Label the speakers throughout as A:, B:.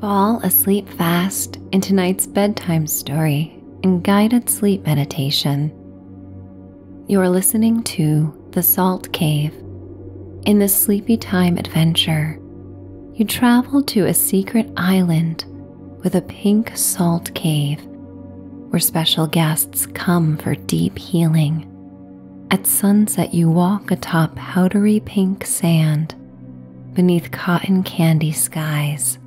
A: Fall asleep fast in tonight's bedtime story and guided sleep meditation. You're listening to The Salt Cave. In this sleepy time adventure, you travel to a secret island with a pink salt cave where special guests come for deep healing at sunset, you walk atop powdery pink sand beneath cotton candy skies.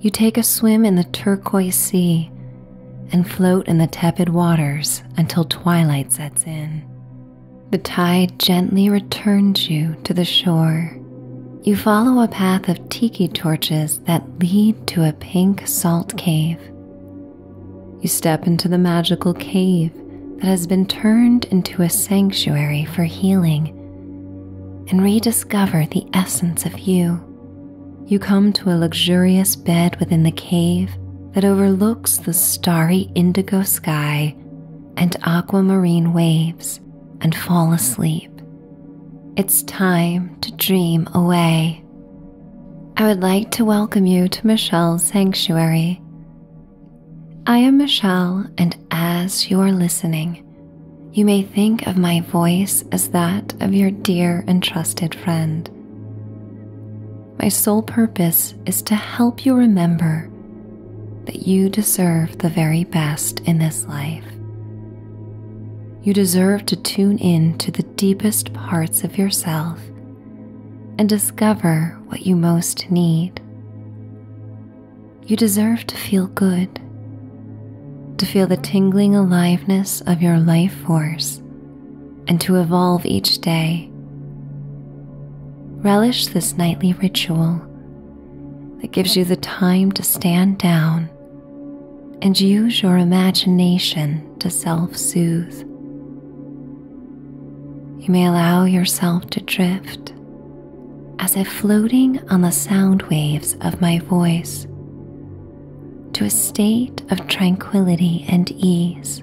A: You take a swim in the turquoise sea and float in the tepid waters until twilight sets in. The tide gently returns you to the shore. You follow a path of tiki torches that lead to a pink salt cave you step into the magical cave that has been turned into a sanctuary for healing and rediscover the essence of you. You come to a luxurious bed within the cave that overlooks the starry indigo sky and aquamarine waves and fall asleep. It's time to dream away. I would like to welcome you to Michelle's Sanctuary, I am Michelle, and as you are listening, you may think of my voice as that of your dear and trusted friend. My sole purpose is to help you remember that you deserve the very best in this life. You deserve to tune in to the deepest parts of yourself and discover what you most need. You deserve to feel good, to feel the tingling aliveness of your life force, and to evolve each day. Relish this nightly ritual that gives you the time to stand down and use your imagination to self soothe. You may allow yourself to drift as if floating on the sound waves of my voice to a state of tranquility and ease.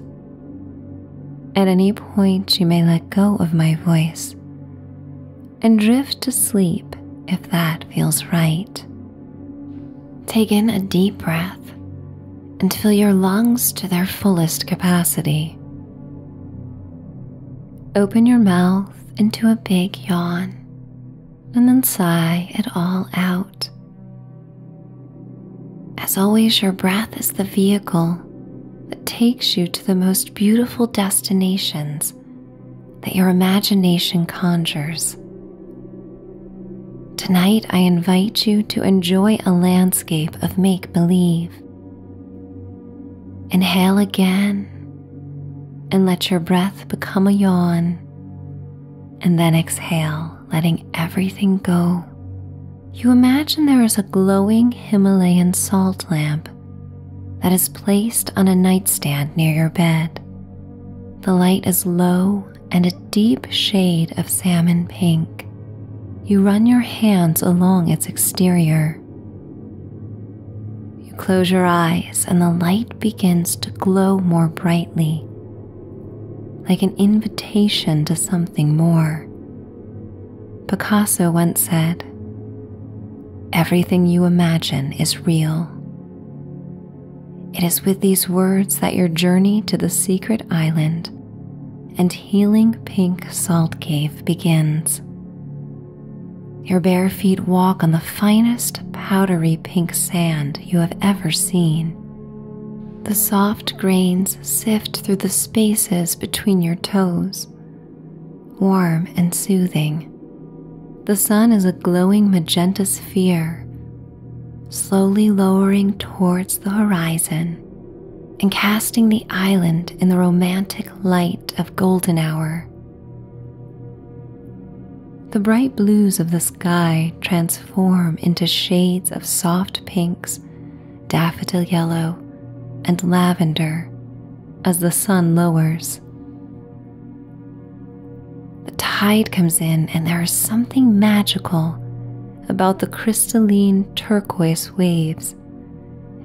A: At any point, you may let go of my voice and drift to sleep if that feels right. Take in a deep breath and fill your lungs to their fullest capacity. Open your mouth into a big yawn and then sigh it all out. As always, your breath is the vehicle that takes you to the most beautiful destinations that your imagination conjures. Tonight, I invite you to enjoy a landscape of make believe. Inhale again and let your breath become a yawn, and then exhale, letting everything go. You imagine there is a glowing Himalayan salt lamp that is placed on a nightstand near your bed. The light is low and a deep shade of salmon pink. You run your hands along its exterior. You close your eyes, and the light begins to glow more brightly, like an invitation to something more. Picasso once said, Everything you imagine is real. It is with these words that your journey to the secret island and healing pink salt cave begins. Your bare feet walk on the finest powdery pink sand you have ever seen. The soft grains sift through the spaces between your toes, warm and soothing. The sun is a glowing magenta sphere, slowly lowering towards the horizon and casting the island in the romantic light of golden hour. The bright blues of the sky transform into shades of soft pinks, daffodil yellow, and lavender as the sun lowers. The tide comes in, and there is something magical about the crystalline turquoise waves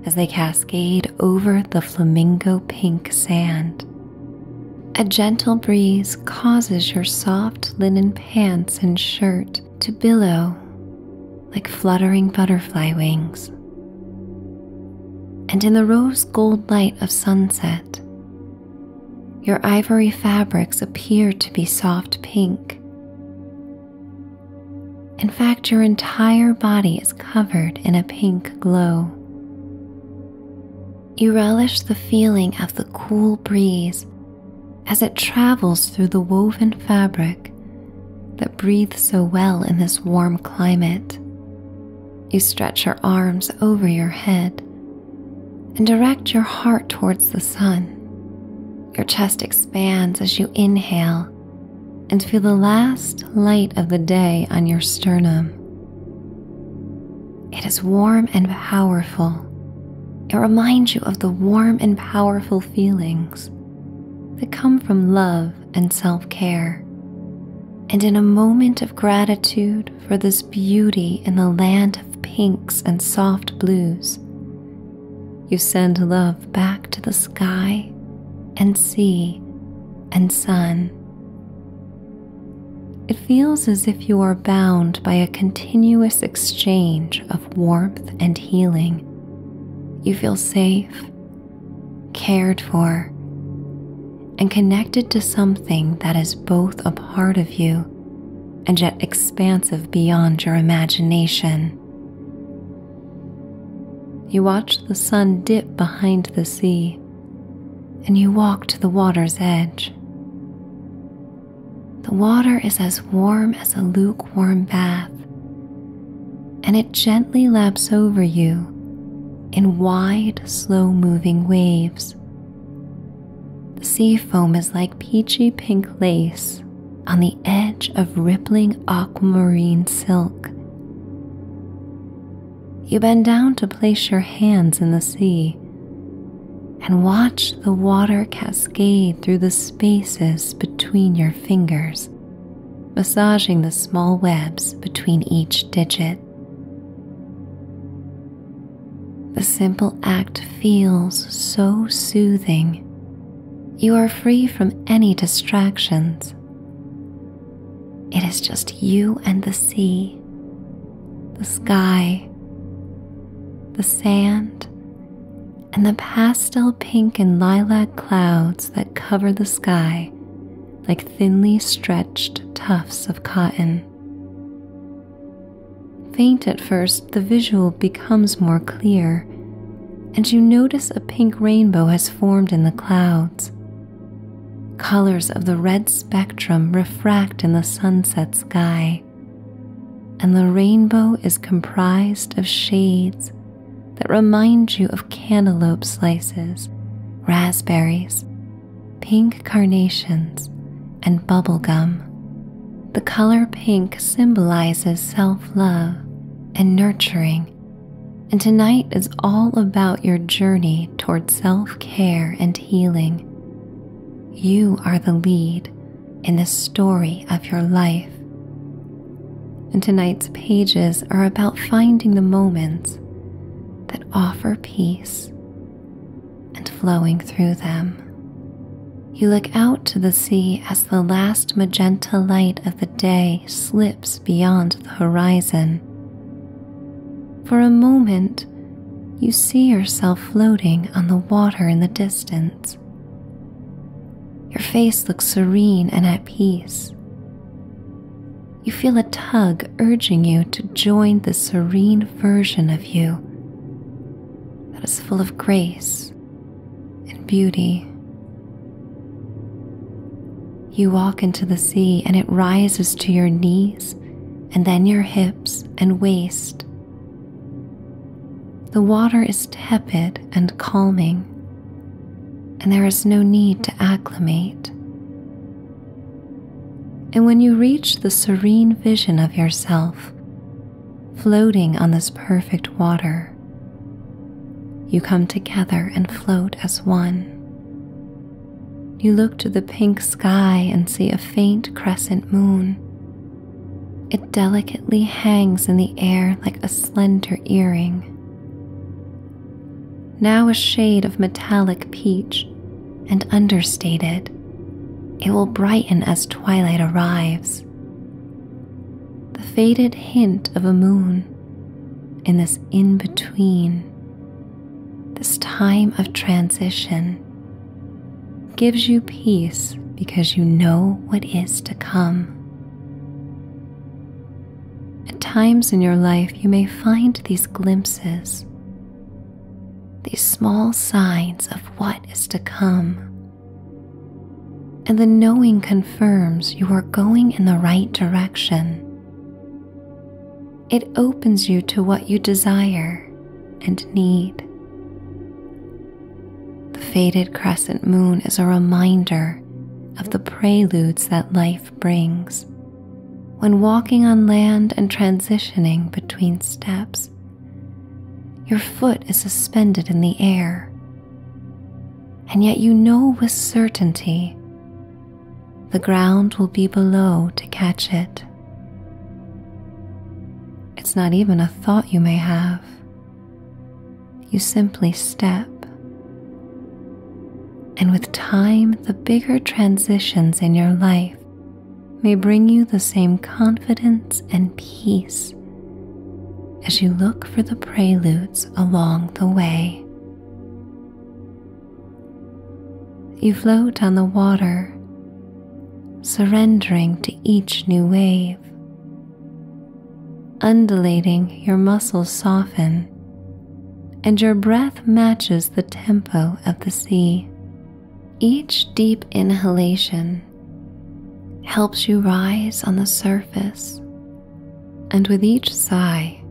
A: as they cascade over the flamingo pink sand. A gentle breeze causes your soft linen pants and shirt to billow like fluttering butterfly wings. And in the rose gold light of sunset, your ivory fabrics appear to be soft pink, in fact, your entire body is covered in a pink glow. You relish the feeling of the cool breeze as it travels through the woven fabric that breathes so well in this warm climate. You stretch your arms over your head and direct your heart towards the sun. Your chest expands as you inhale and feel the last light of the day on your sternum. It is warm and powerful. It reminds you of the warm and powerful feelings that come from love and self care. And in a moment of gratitude for this beauty in the land of pinks and soft blues, you send love back to the sky and sea and sun. It feels as if you are bound by a continuous exchange of warmth and healing. You feel safe, cared for, and connected to something that is both a part of you and yet expansive beyond your imagination. You watch the sun dip behind the sea, and you walk to the water's edge. The water is as warm as a lukewarm bath, and it gently laps over you in wide, slow moving waves. The sea foam is like peachy pink lace on the edge of rippling aquamarine silk. You bend down to place your hands in the sea and watch the water cascade through the spaces between your fingers, massaging the small webs between each digit. The simple act feels so soothing you are free from any distractions. It is just you and the sea, the sky, the sand, and the pastel pink and lilac clouds that cover the sky like thinly stretched tufts of cotton. Faint at first the visual becomes more clear, and you notice a pink rainbow has formed in the clouds. Colors of the red spectrum refract in the sunset sky, and the rainbow is comprised of shades that remind you of cantaloupe slices, raspberries, pink carnations, and bubblegum. The color pink symbolizes self love and nurturing, and tonight is all about your journey toward self care and healing. You are the lead in the story of your life. And tonight's pages are about finding the moments that offer peace and flowing through them. You look out to the sea as the last magenta light of the day slips beyond the horizon. For a moment, you see yourself floating on the water in the distance. Your face looks serene and at peace. You feel a tug urging you to join the serene version of you that is full of grace grace and beauty. You walk into the sea and it rises to your knees and then your hips and waist. The water is tepid and calming, and there is no need to acclimate. And when you reach the serene vision of yourself floating on this perfect water. You come together and float as one. You look to the pink sky and see a faint crescent moon. It delicately hangs in the air like a slender earring. Now a shade of metallic peach and understated, it will brighten as twilight arrives the faded hint of a moon in this in between, this time of transition. Gives you peace because you know what is to come. At times in your life, you may find these glimpses, these small signs of what is to come, and the knowing confirms you are going in the right direction. It opens you to what you desire and need. The faded crescent moon is a reminder of the preludes that life brings when walking on land and transitioning between steps. Your foot is suspended in the air and yet you know with certainty the ground will be below to catch it. It's not even a thought you may have, you simply step. And with time, the bigger transitions in your life may bring you the same confidence and peace as you look for the preludes along the way. You float on the water, surrendering to each new wave. Undulating, your muscles soften, and your breath matches the tempo of the sea. Each deep inhalation helps you rise on the surface, and with each sigh,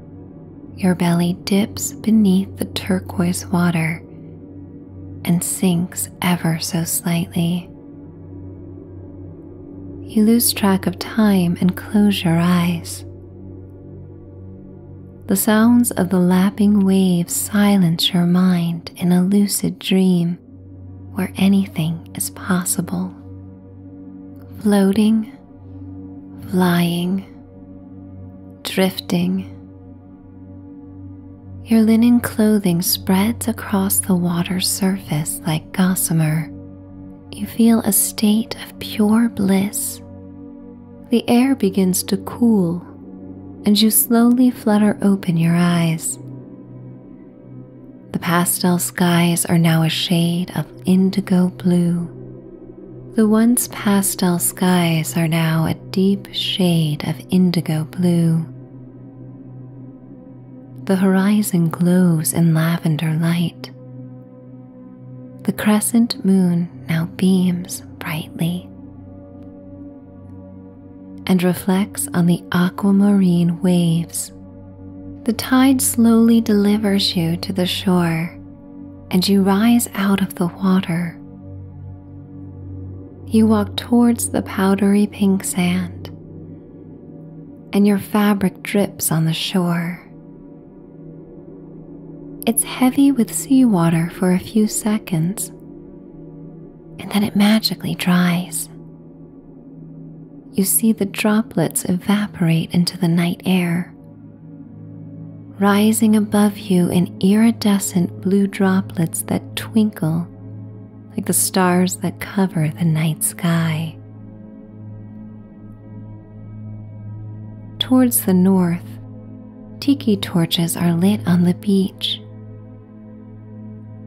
A: your belly dips beneath the turquoise water and sinks ever so slightly. You lose track of time and close your eyes. The sounds of the lapping waves silence your mind in a lucid dream where anything is possible. Floating, flying, drifting. Your linen clothing spreads across the water's surface like gossamer. You feel a state of pure bliss. The air begins to cool, and you slowly flutter open your eyes. The pastel skies are now a shade of indigo blue. The once pastel skies are now a deep shade of indigo blue. The horizon glows in lavender light. The crescent moon now beams brightly and reflects on the aquamarine waves the tide slowly delivers you to the shore and you rise out of the water. You walk towards the powdery pink sand, and your fabric drips on the shore. It's heavy with seawater for a few seconds, and then it magically dries. You see the droplets evaporate into the night air. Rising above you in iridescent blue droplets that twinkle like the stars that cover the night sky. Towards the north, tiki torches are lit on the beach,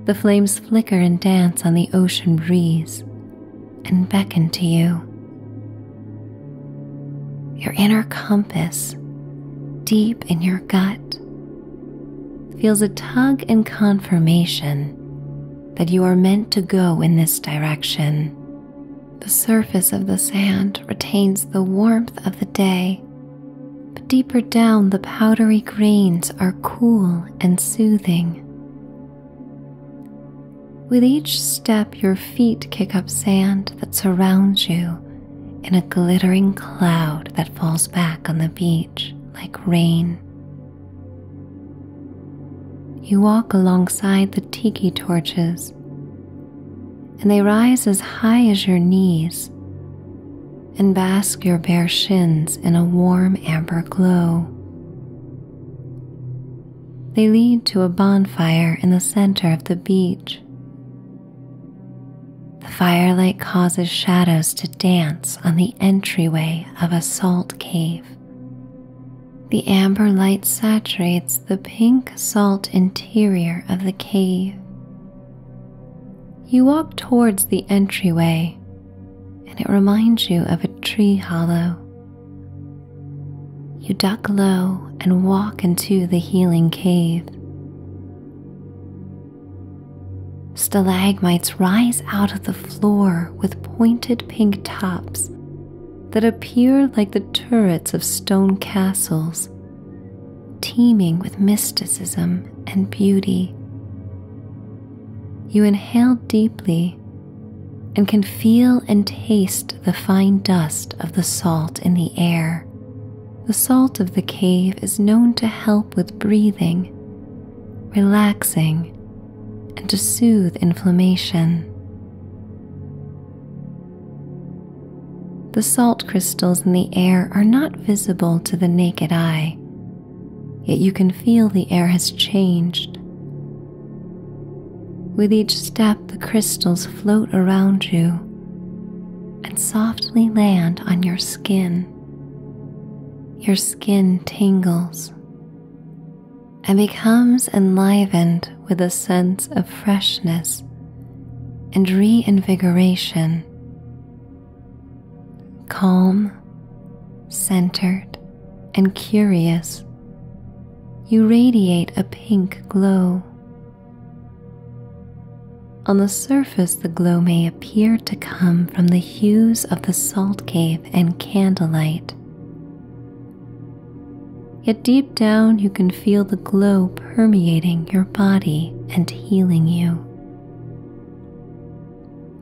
A: the flames flicker and dance on the ocean breeze and beckon to you. Your inner compass, deep in your gut, feels a tug and confirmation that you are meant to go in this direction. The surface of the sand retains the warmth of the day, but deeper down, the powdery grains are cool and soothing. With each step, your feet kick up sand that surrounds you in a glittering cloud that falls back on the beach like rain. You walk alongside the tiki torches, and they rise as high as your knees and bask your bare shins in a warm amber glow. They lead to a bonfire in the center of the beach. The firelight causes shadows to dance on the entryway of a salt cave. The amber light saturates the pink salt interior of the cave. You walk towards the entryway and it reminds you of a tree hollow. You duck low and walk into the healing cave. Stalagmites rise out of the floor with pointed pink tops that appear like the turrets of stone castles, teeming with mysticism and beauty you inhale deeply and can feel and taste the fine dust of the salt in the air. The salt of the cave is known to help with breathing, relaxing, and to soothe inflammation. The salt crystals in the air are not visible to the naked eye, yet you can feel the air has changed. With each step, the crystals float around you and softly land on your skin. Your skin tingles and becomes enlivened with a sense of freshness and reinvigoration. Calm, centered, and curious, you radiate a pink glow. On the surface, the glow may appear to come from the hues of the salt cave and candlelight. Yet deep down, you can feel the glow permeating your body and healing you.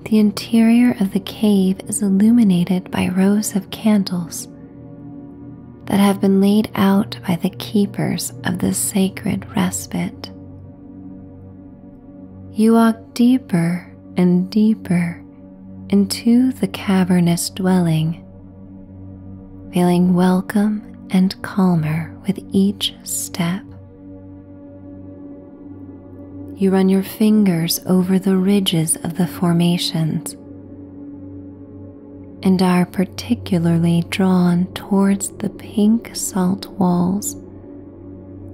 A: The interior of the cave is illuminated by rows of candles that have been laid out by the keepers of the sacred respite. You walk deeper and deeper into the cavernous dwelling, feeling welcome and calmer with each step. You run your fingers over the ridges of the formations and are particularly drawn towards the pink salt walls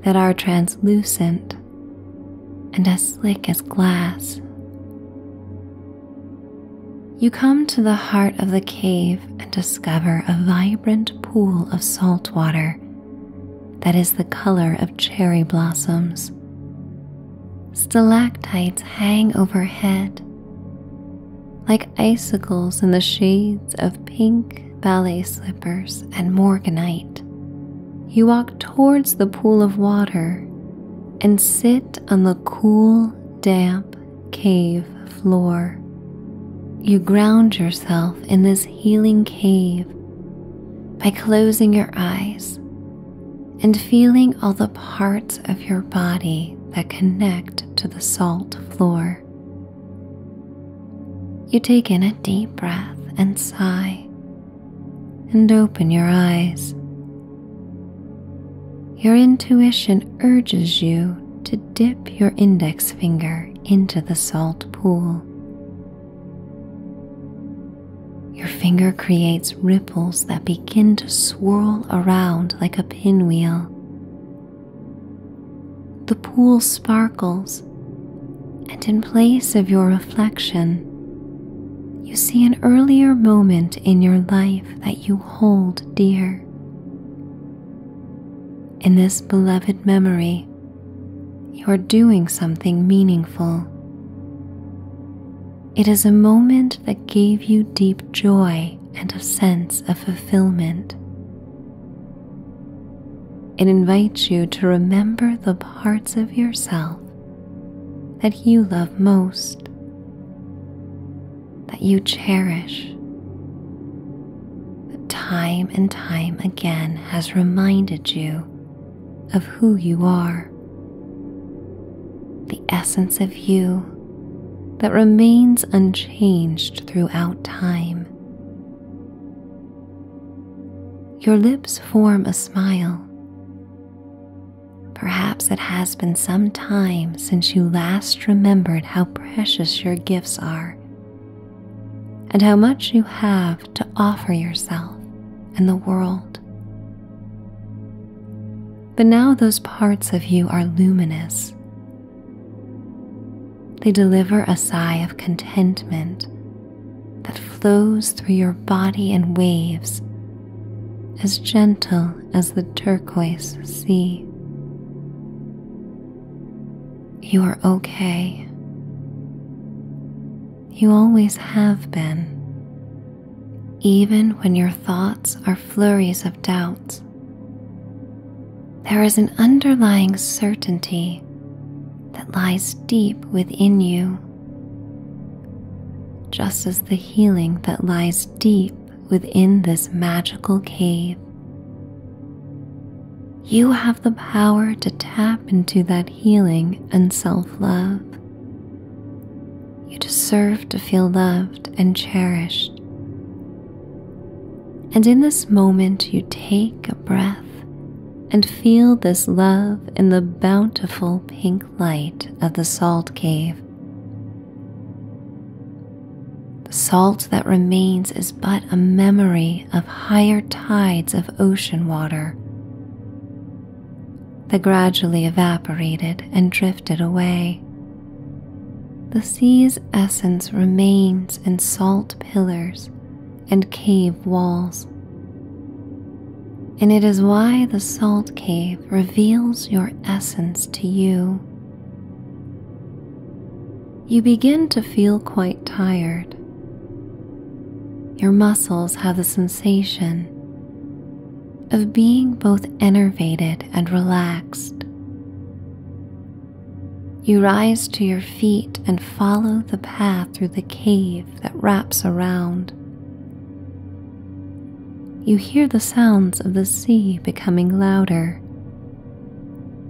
A: that are translucent and as slick as glass. You come to the heart of the cave and discover a vibrant pool of salt water that is the color of cherry blossoms. Stalactites hang overhead like icicles in the shades of pink ballet slippers and morganite. You walk towards the pool of water and sit on the cool, damp cave floor. You ground yourself in this healing cave by closing your eyes and feeling all the parts of your body that connect to the salt floor. You take in a deep breath and sigh and open your eyes. Your intuition urges you to dip your index finger into the salt pool your finger creates ripples that begin to swirl around like a pinwheel. The pool sparkles, and in place of your reflection, you see an earlier moment in your life that you hold dear. In this beloved memory, you are doing something meaningful. It is a moment that gave you deep joy and a sense of fulfillment. It invites you to remember the parts of yourself that you love most, that you cherish, that time and time again has reminded you of who you are, the essence of you that remains unchanged throughout time. Your lips form a smile. Perhaps it has been some time since you last remembered how precious your gifts are and how much you have to offer yourself and the world. But now those parts of you are luminous. They deliver a sigh of contentment that flows through your body in waves as gentle as the turquoise sea. You are okay. You always have been. Even when your thoughts are flurries of doubt, there is an underlying certainty that lies deep within you, just as the healing that lies deep within this magical cave you have the power to tap into that healing and self love. You deserve to feel loved and cherished. And in this moment, you take a breath and feel this love in the bountiful pink light of the salt cave. The salt that remains is but a memory of higher tides of ocean water they gradually evaporated and drifted away. The sea's essence remains in salt pillars and cave walls. And it is why the salt cave reveals your essence to you. You begin to feel quite tired your muscles have the sensation of being both enervated and relaxed. You rise to your feet and follow the path through the cave that wraps around. You hear the sounds of the sea becoming louder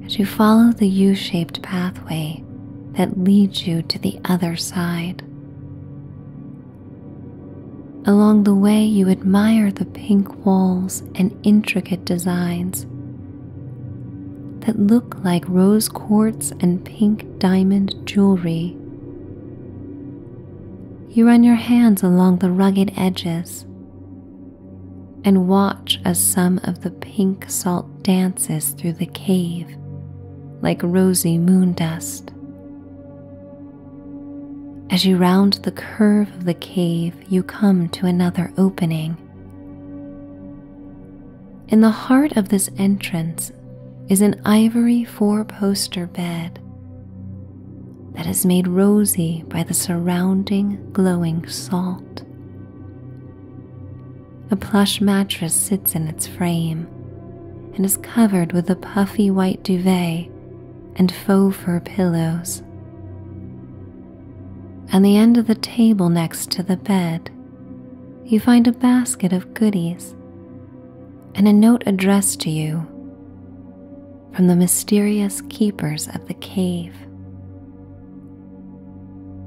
A: as you follow the U shaped pathway that leads you to the other side. Along the way, you admire the pink walls and intricate designs that look like rose quartz and pink diamond jewelry. You run your hands along the rugged edges and watch as some of the pink salt dance through the cave like rosy moon dust. As you round the curve of the cave, you come to another opening. In the heart of this entrance is an ivory four poster bed that is made rosy by the surrounding glowing salt. A plush mattress sits in its frame and is covered with a puffy white duvet and faux fur pillows. At the end of the table next to the bed, you find a basket of goodies and a note addressed to you from the mysterious keepers of the cave.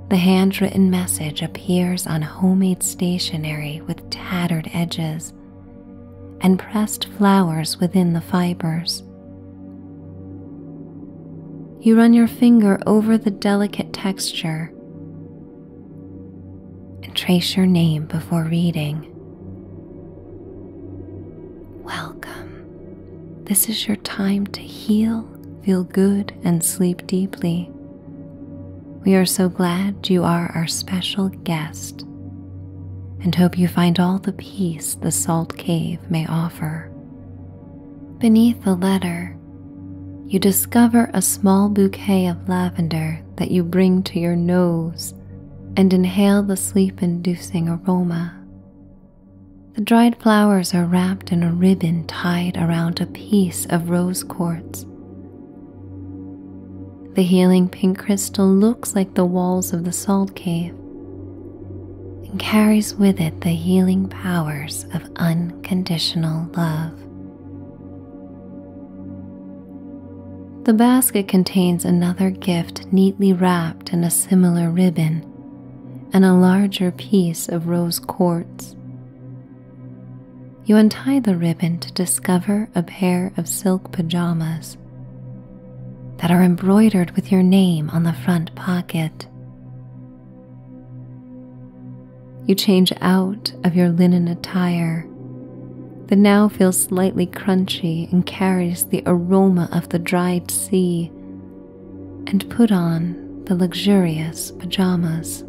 A: The handwritten message appears on homemade stationery with tattered edges and pressed flowers within the fibers. You run your finger over the delicate texture and trace your name before reading. Welcome. This is your time to heal, feel good, and sleep deeply. We are so glad you are our special guest and hope you find all the peace the salt cave may offer. Beneath the letter, you discover a small bouquet of lavender that you bring to your nose and inhale the sleep inducing aroma. The dried flowers are wrapped in a ribbon tied around a piece of rose quartz the healing pink crystal looks like the walls of the salt cave and carries with it the healing powers of unconditional love. The basket contains another gift neatly wrapped in a similar ribbon and a larger piece of rose quartz, you untie the ribbon to discover a pair of silk pajamas that are embroidered with your name on the front pocket. You change out of your linen attire that now feels slightly crunchy and carries the aroma of the dried sea, and put on the luxurious pajamas.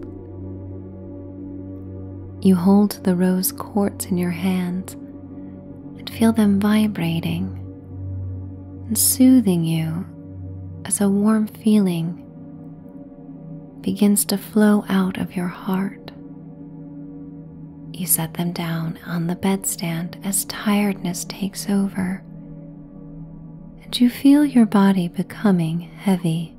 A: You hold the rose quartz in your hands and feel them vibrating and soothing you as a warm feeling begins to flow out of your heart. You set them down on the bedstand as tiredness takes over, and you feel your body becoming heavy.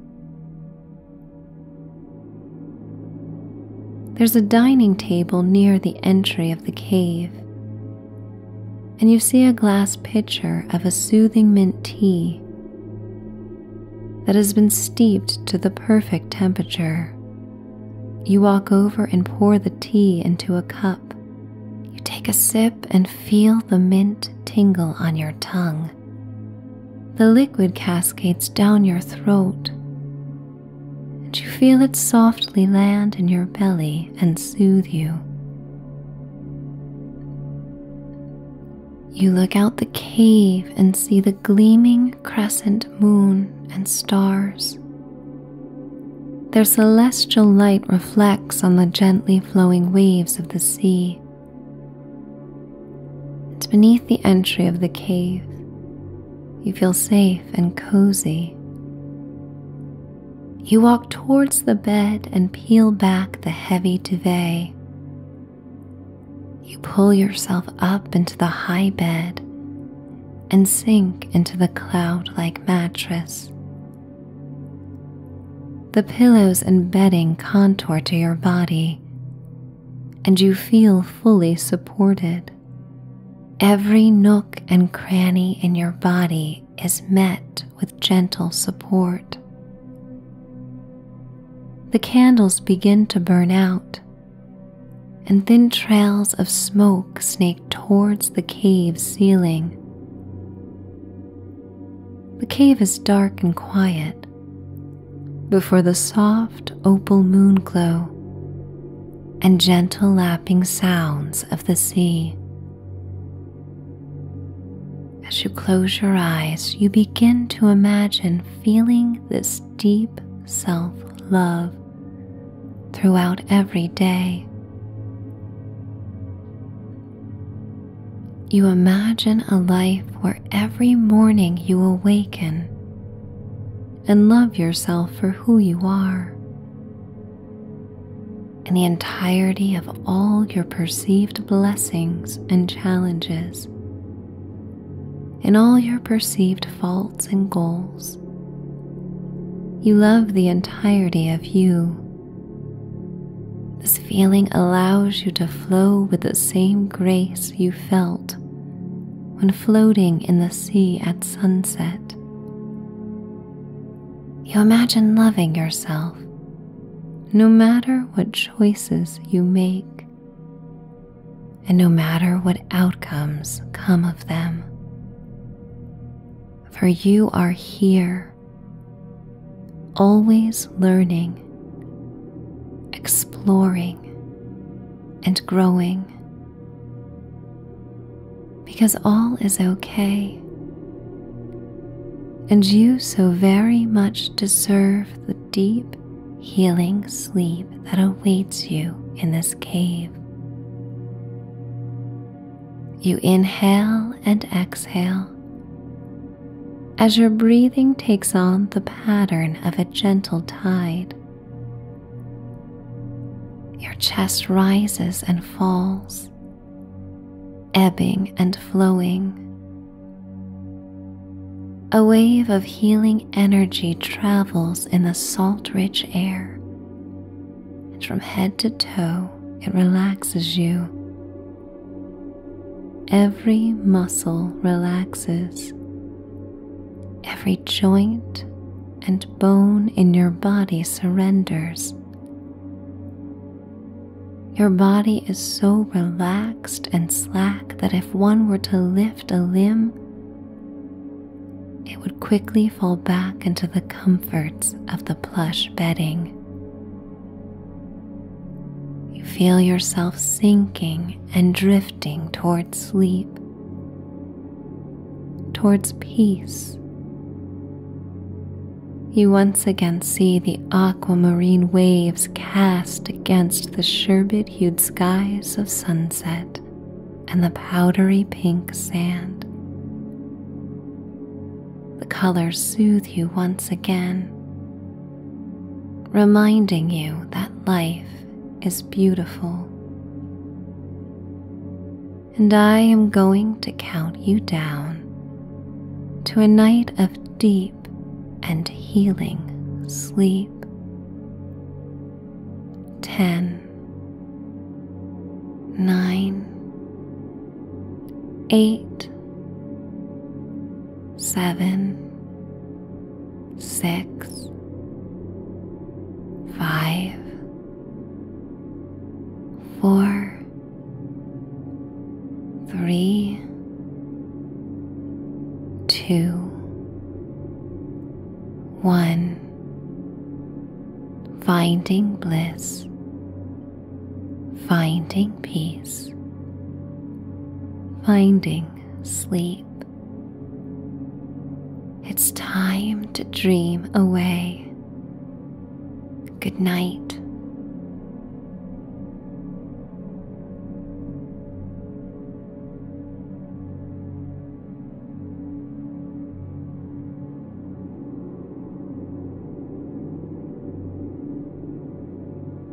A: There's a dining table near the entry of the cave, and you see a glass pitcher of a soothing mint tea that has been steeped to the perfect temperature. You walk over and pour the tea into a cup. You take a sip and feel the mint tingle on your tongue. The liquid cascades down your throat, and you feel it softly land in your belly and soothe you. You look out the cave and see the gleaming crescent moon and stars. Their celestial light reflects on the gently flowing waves of the sea. It's beneath the entry of the cave, you feel safe and cozy. You walk towards the bed and peel back the heavy duvet. You pull yourself up into the high bed and sink into the cloud like mattress the pillows and bedding contour to your body, and you feel fully supported. Every nook and cranny in your body is met with gentle support. The candles begin to burn out, and thin trails of smoke snake towards the cave's ceiling. The cave is dark and quiet, before the soft opal moon glow and gentle lapping sounds of the sea. As you close your eyes, you begin to imagine feeling this deep self love throughout every day you imagine a life where every morning you awaken and love yourself for who you are. in the entirety of all your perceived blessings and challenges, in all your perceived faults and goals. You love the entirety of you this feeling allows you to flow with the same grace you felt when floating in the sea at sunset. You imagine loving yourself no matter what choices you make, and no matter what outcomes come of them. For you are here always learning, exploring, and growing. Because all is okay, and you so very much deserve the deep, healing sleep that awaits you in this cave. You inhale and exhale as your breathing takes on the pattern of a gentle tide. Your chest rises and falls, ebbing and flowing. A wave of healing energy travels in the salt rich air, and from head to toe it relaxes you, Every muscle relaxes. Every joint and bone in your body surrenders. Your body is so relaxed and slack that if one were to lift a limb, it would quickly fall back into the comforts of the plush bedding. You feel yourself sinking and drifting towards sleep, towards peace. You once again see the aquamarine waves cast against the sherbet hued skies of sunset and the powdery pink sand. The colors soothe you once again reminding you that life is beautiful. And I am going to count you down to a night of deep and healing sleep. 10, 8, seven, six, five, four, three, two, one. Finding bliss finding peace, finding sleep. It's time to dream away. Good night.